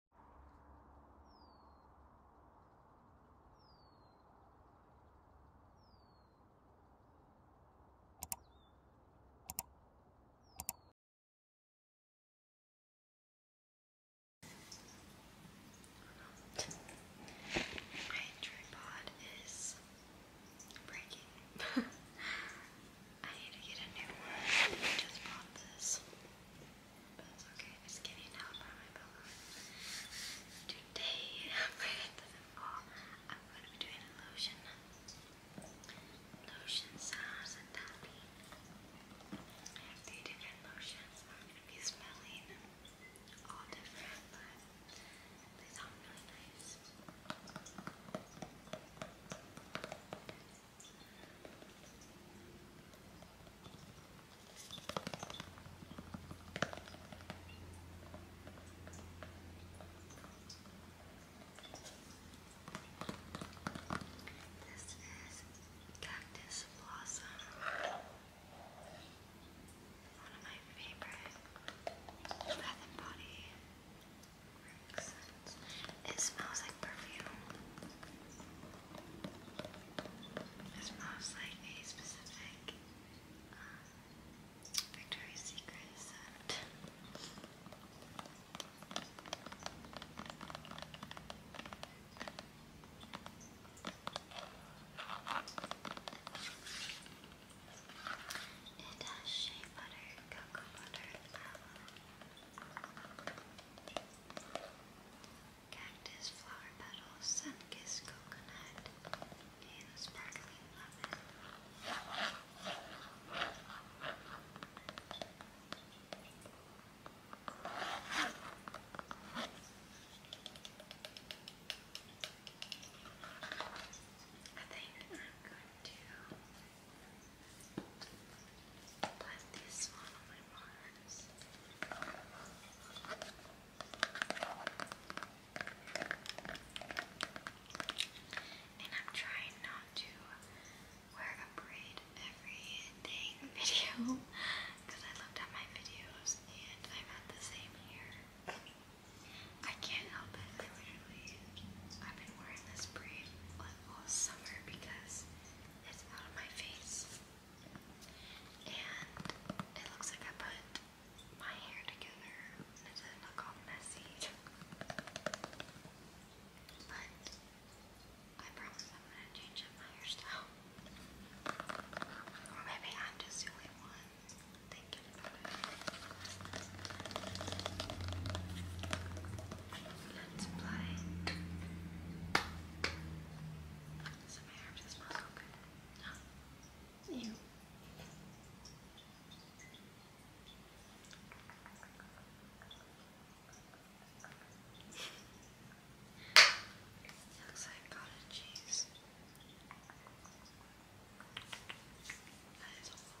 My tripod is breaking. I need to get a new one. I just bought this. Today, afraid it doesn't fall, I'm going to be doing a lotion. Lotion sounds and tapping. I have different lotions, I'm going to be smelling all different, but they sound really nice. This is Cactus Blossom, one of my favorite Bath and Body it smells like perfume. It smells like a specific um, Victoria's Secret scent. It has shea butter, cocoa butter, and Cactus flower petals, sun-kissed coconut, and sparkling lemon. I think I'm going to Put this one on And I'm trying not to wear a braid everything video because I looked at my videos and I've had the same hair. I can't help it. literally, i wearing this braid all summer because it's out of my face. And it looks like I put my hair together and it doesn't look all messy. But I promise I'm gonna change up my hairstyle. Or maybe I'm just the only one thinking about it. Let's apply some hair to smells so good. Oh. Ew. it looks like cottage cheese. That is awful.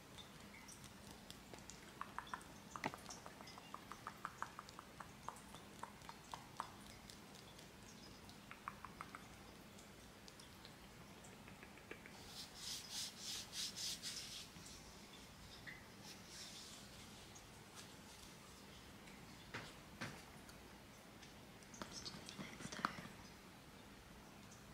Next time.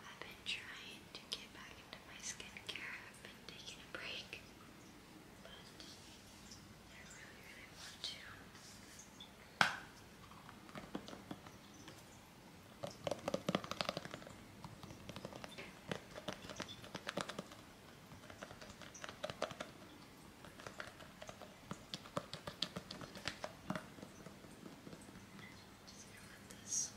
I've been trying to get back into my skincare. I've been taking a break, but I really, really want to this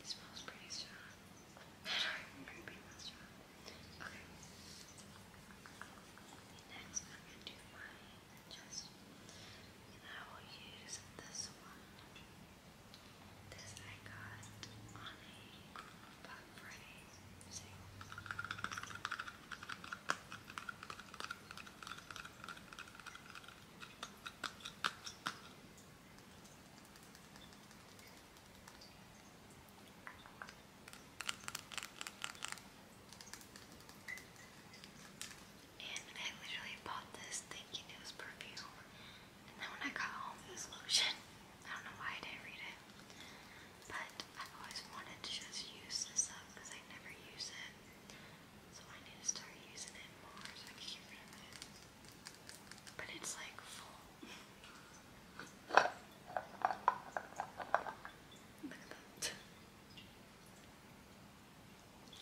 It smells pretty strong. I don't strong. Okay. Next, I'm gonna do my chest. And I will use this one. This I got on a Black Friday And I literally bought this thinking it was perfume, and then when I got home, this lotion, I don't know why I didn't read it, but I've always wanted to just use this up because I never use it. So I need to start using it more But it's like full. Look at that.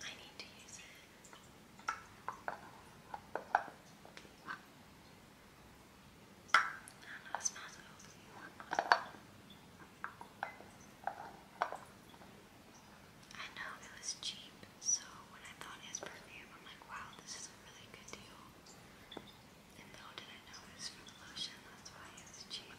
I need to use it. I know, it smells okay. I know it was cheap, so when I thought it was perfume, I'm like, wow, this is a really good deal. And little did not know it was from lotion, that's why it was cheap.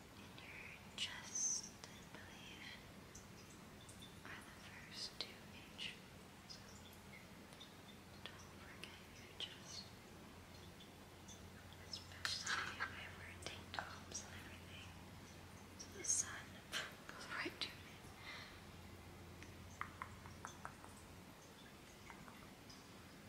trust and belief are the first two attributes. don't forget your trust. Especially if I wear everything. the sun goes right to me.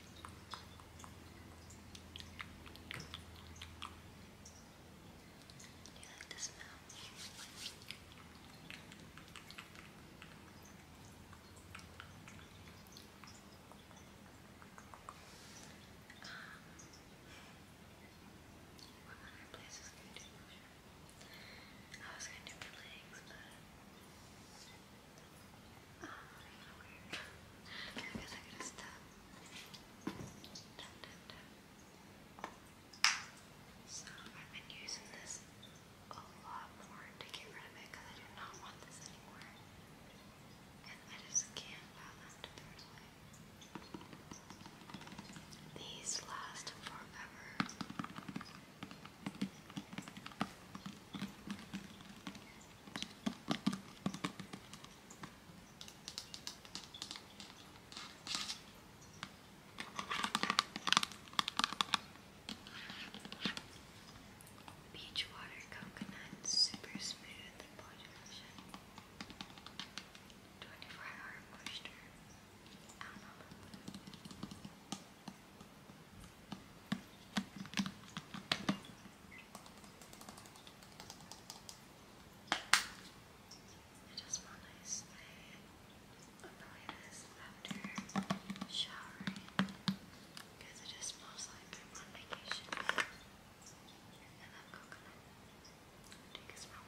Do you like the smell? Um, what other to do I was going to do legs, but Oh, weird. So I've been using this a lot more to get rid of it because I do not want this anymore. And I just can't allow them to throw These last forever. Beach water coconut, super smooth body 24 hour moisture. I just want to I'm this after showering because it just smells like I'm on vacation and I'm coconut. Take a smell.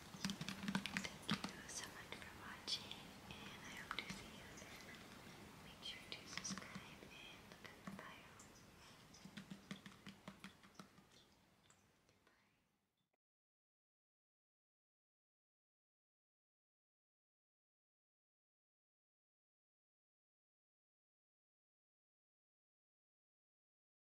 Thank you so much for watching, and I hope to see you then. Make sure to subscribe and look at